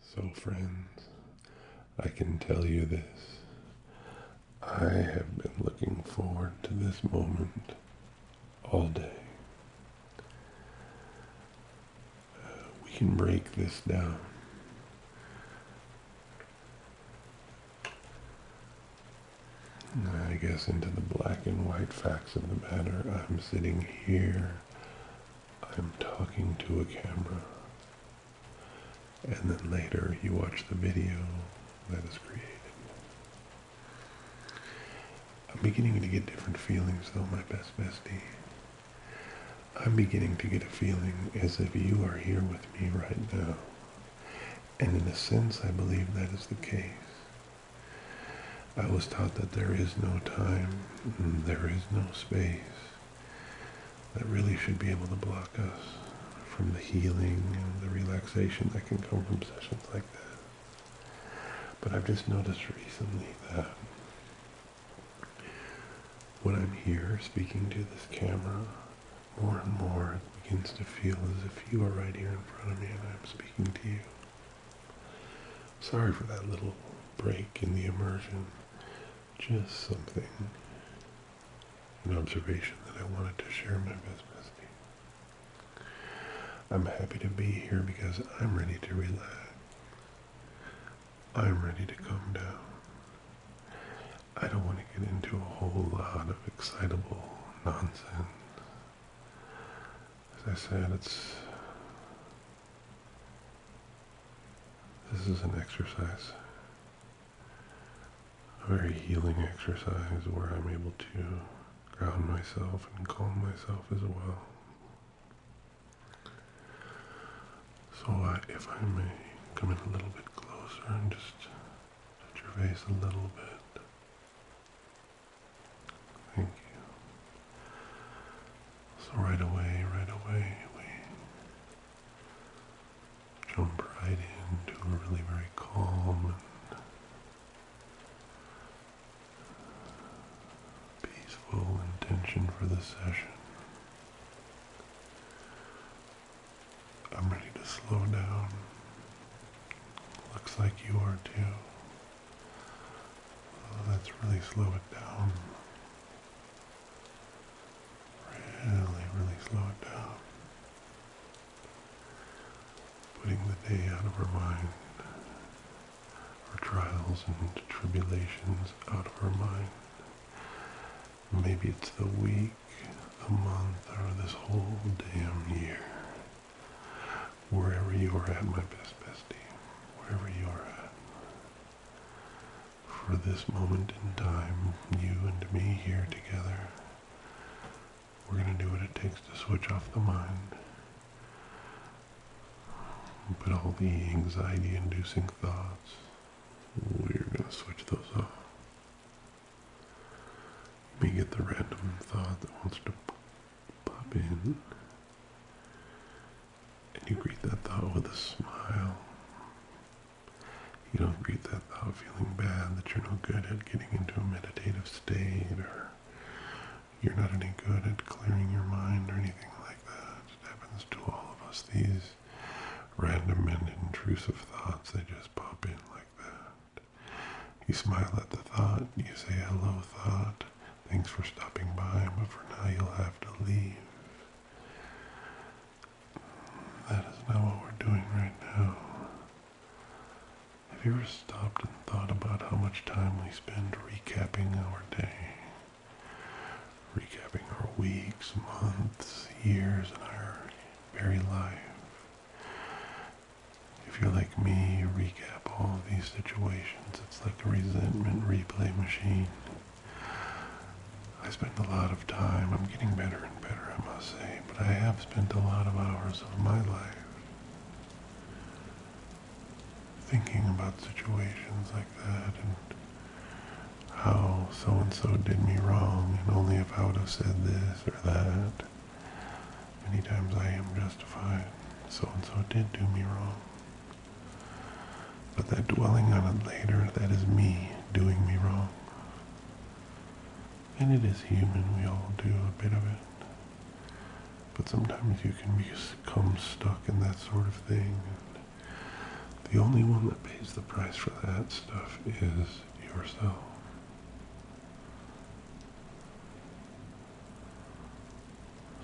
So, friends, I can tell you this. I have been looking forward to this moment all day. we can break this down. I guess into the black and white facts of the matter. I'm sitting here I'm talking to a camera. And then later you watch the video that is created. I'm beginning to get different feelings though, my best bestie. I'm beginning to get a feeling as if you are here with me right now. And in a sense, I believe that is the case. I was taught that there is no time, there is no space that really should be able to block us from the healing and the relaxation that can come from sessions like that. But I've just noticed recently that when I'm here speaking to this camera, more and more it begins to feel as if you are right here in front of me and I'm speaking to you. Sorry for that little break in the immersion. Just something, an observation that I wanted to share with you. I'm happy to be here because I'm ready to relax. I'm ready to come down. I don't want to get into a whole lot of excitable nonsense. As I said, it's this is an exercise, a very healing exercise where I'm able to ground myself and calm myself as well. So uh, if I may come in a little bit closer and just touch your face a little bit. Thank you. So right away, right away, we jump right into a really very calm and peaceful intention for the session. I'm ready to slow down. Looks like you are too. Let's oh, really slow it down. Really, really slow it down. Putting the day out of her mind, our trials and tribulations out of her mind. Maybe it's the week, the month, or this whole damn year wherever you are at, my best bestie, wherever you are at. For this moment in time, you and me here together, we're going to do what it takes to switch off the mind. Put all the anxiety inducing thoughts, we're going to switch those off. Let me get the random thought that wants to pop in, and you greet that thought with a smile. You don't greet that thought feeling bad that you're no good at getting into a meditative state or you're not any good at clearing your mind or anything like that. It happens to all of us. These random and intrusive thoughts, they just pop in like that. You smile at the thought, you say hello thought, Thanks for stopping by, but for now you'll have to leave. That is not what we're doing right now. Have you ever stopped and thought about how much time we spend recapping our day? Recapping our weeks, months, years, and our very life if you're like me, you recap all of these situations. It's like a resentment replay machine. I spend a lot of time, I'm getting better and better, I must say, but I have spent a lot of hours of my life thinking about situations like that and how so-and-so did me wrong and only if I would have said this or that. Many times I am justified. So and so did do me wrong. But that dwelling on it later, that is me doing me wrong. And it is human, we all do a bit of it. But sometimes you can become stuck in that sort of thing. And the only one that pays the price for that stuff is yourself.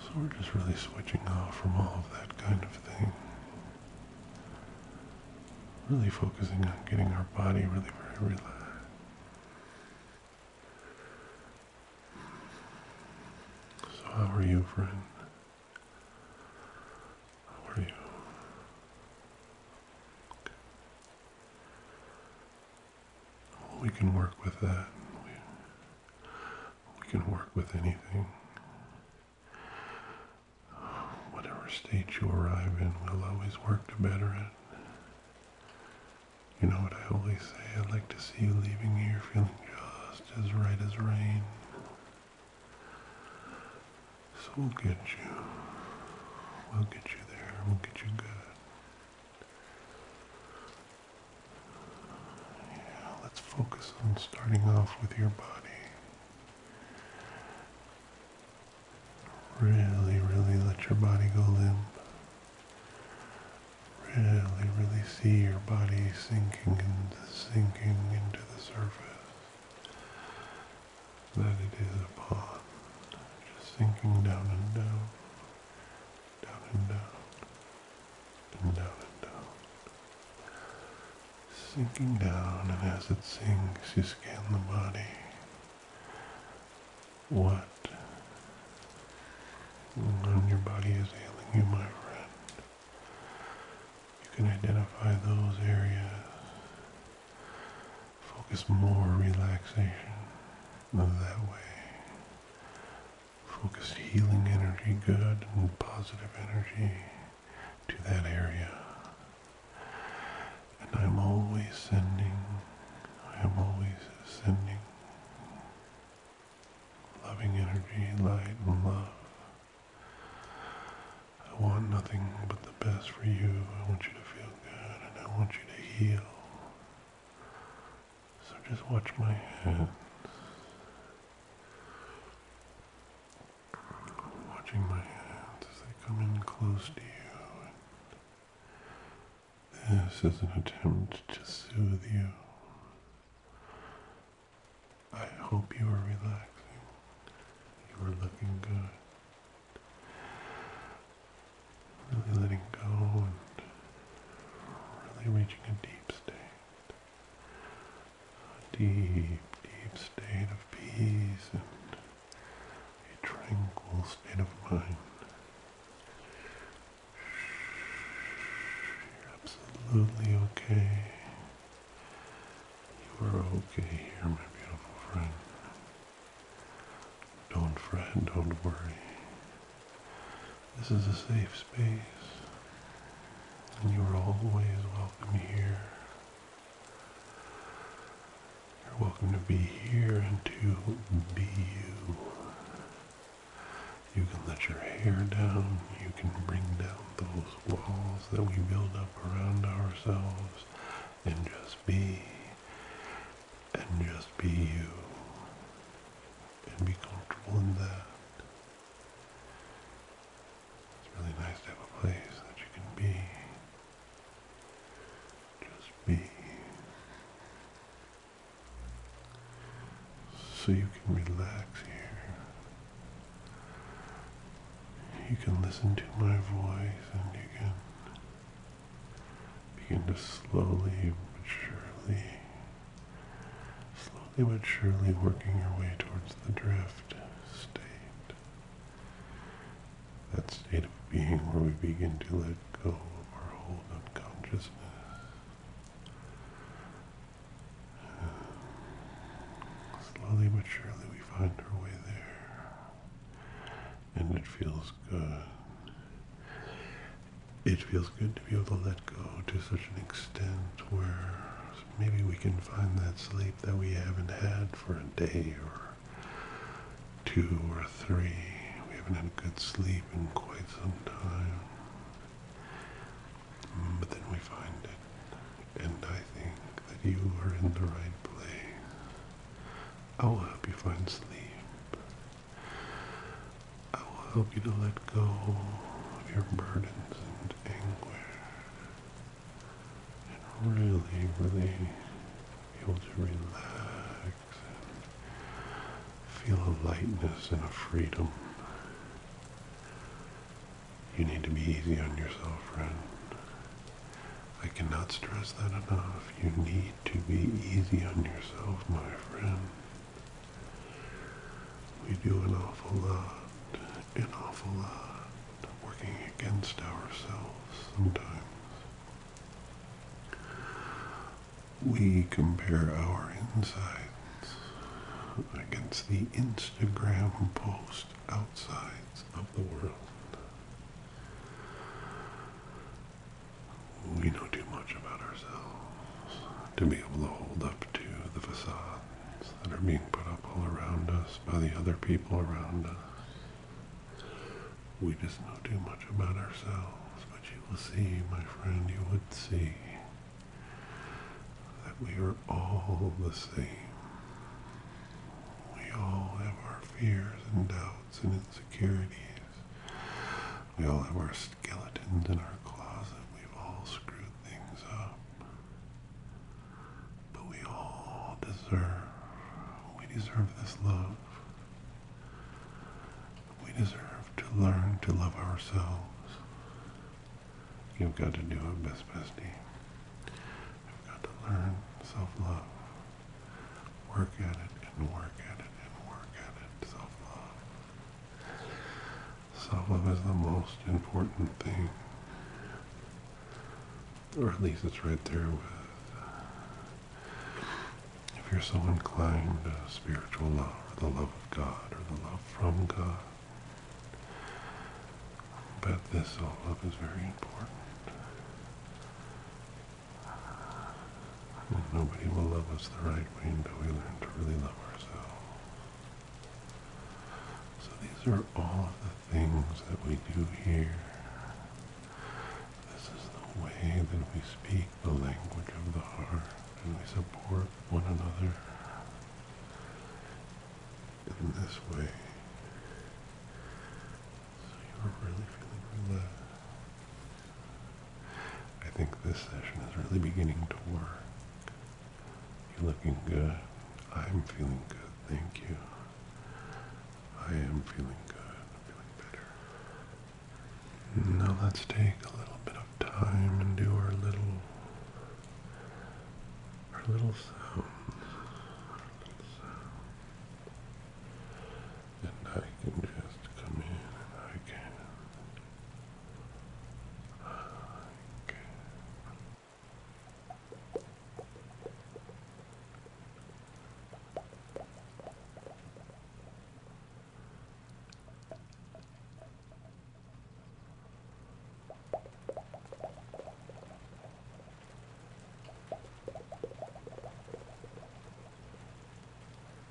So we're just really switching off from all of that kind of thing. Really focusing on getting our body really very relaxed. So how are you, friend? How are you? we can work with that. We can work with anything. Whatever state you arrive in, we'll always work to better it. You know what I always say? I'd like to see you leaving here feeling just as right as rain. So we'll get you. We'll get you there. We'll get you good. Yeah, let's focus on starting off with your body. Really, really let your body go limp. Really, really see your body sinking and sinking into the surface that it is upon. Just sinking down and down down and down, and down and down. Sinking down, and as it sinks, you scan the body. What on your body is ailing you, my friend? You can identify those areas. Focus more relaxation that way Focused healing energy, good and positive energy to that area. And I'm always sending, I am always sending loving energy, light and love. I want nothing but the best for you. I want you to feel good and I want you to heal. So just watch my hands. Watching my hands as they come in close to you. this is an attempt to soothe you. I hope you are relaxing. You are looking good. Really letting go and really reaching a deep state. A deep, deep state of peace and a tranquil state of mind. You're absolutely okay. You are okay here, my beautiful friend. Don't fret, don't worry. This is a safe space, and you are always welcome here. You're welcome to be here and to be you. You can let your hair down, you can bring down those walls that we build up around ourselves, and just be, and just be you and be comfortable in that. It's really nice to have a place that you can be. Just be. So you can relax here. You can listen to my voice and you can begin to slowly but surely, slowly but surely working your way towards the drift state. That state of being where we begin to let go of our hold unconsciousness. slowly but surely we find our way there. And it feels good it feels good to be able to let go to such an extent where maybe we can find that sleep that we haven't had for a day or two or three. We haven't had good sleep in quite some time. Mm, but then we find it. And I think that you are in the right place. I will help you find sleep. I will help you to let go of your burdens and anguish and really, really be able to relax and feel a lightness and a freedom. You need to be easy on yourself, friend. I cannot stress that enough. You need to be easy on yourself, my friend. We do an awful lot, an awful lot, working against ourselves sometimes. We compare our insides against the Instagram post outsides of the world we know too much about ourselves to be able to hold up to the facades that are being put up all around us by the other people around us. We just know too much about ourselves, but you will see, my friend, you would see that we are all the same. We all have our fears and doubts and insecurities. We all have our skeletons in our closet. We've all screwed things up. But we all deserve, we deserve this love. We deserve to learn to love ourselves. You've got to do your Best Bestie. You've got to learn self-love work at it and work at it and work at it. Self-love. Uh, self-love is the most important thing. Or at least it's right there with. Uh, if you're so inclined spiritual love or the love of God or the love from God, but this self-love is very important nobody will love us the right way until we learn to really love ourselves. So these are all of the things that we do here. This is the way that we speak the language of the heart and we support one another. In this way. So you're really feeling relaxed. I think this session is really beginning to work. You're looking good. I'm feeling good. Thank you. I am feeling good. I'm feeling better. Now let's take a little bit of time and do our little our little sounds and I can just come in and I can I can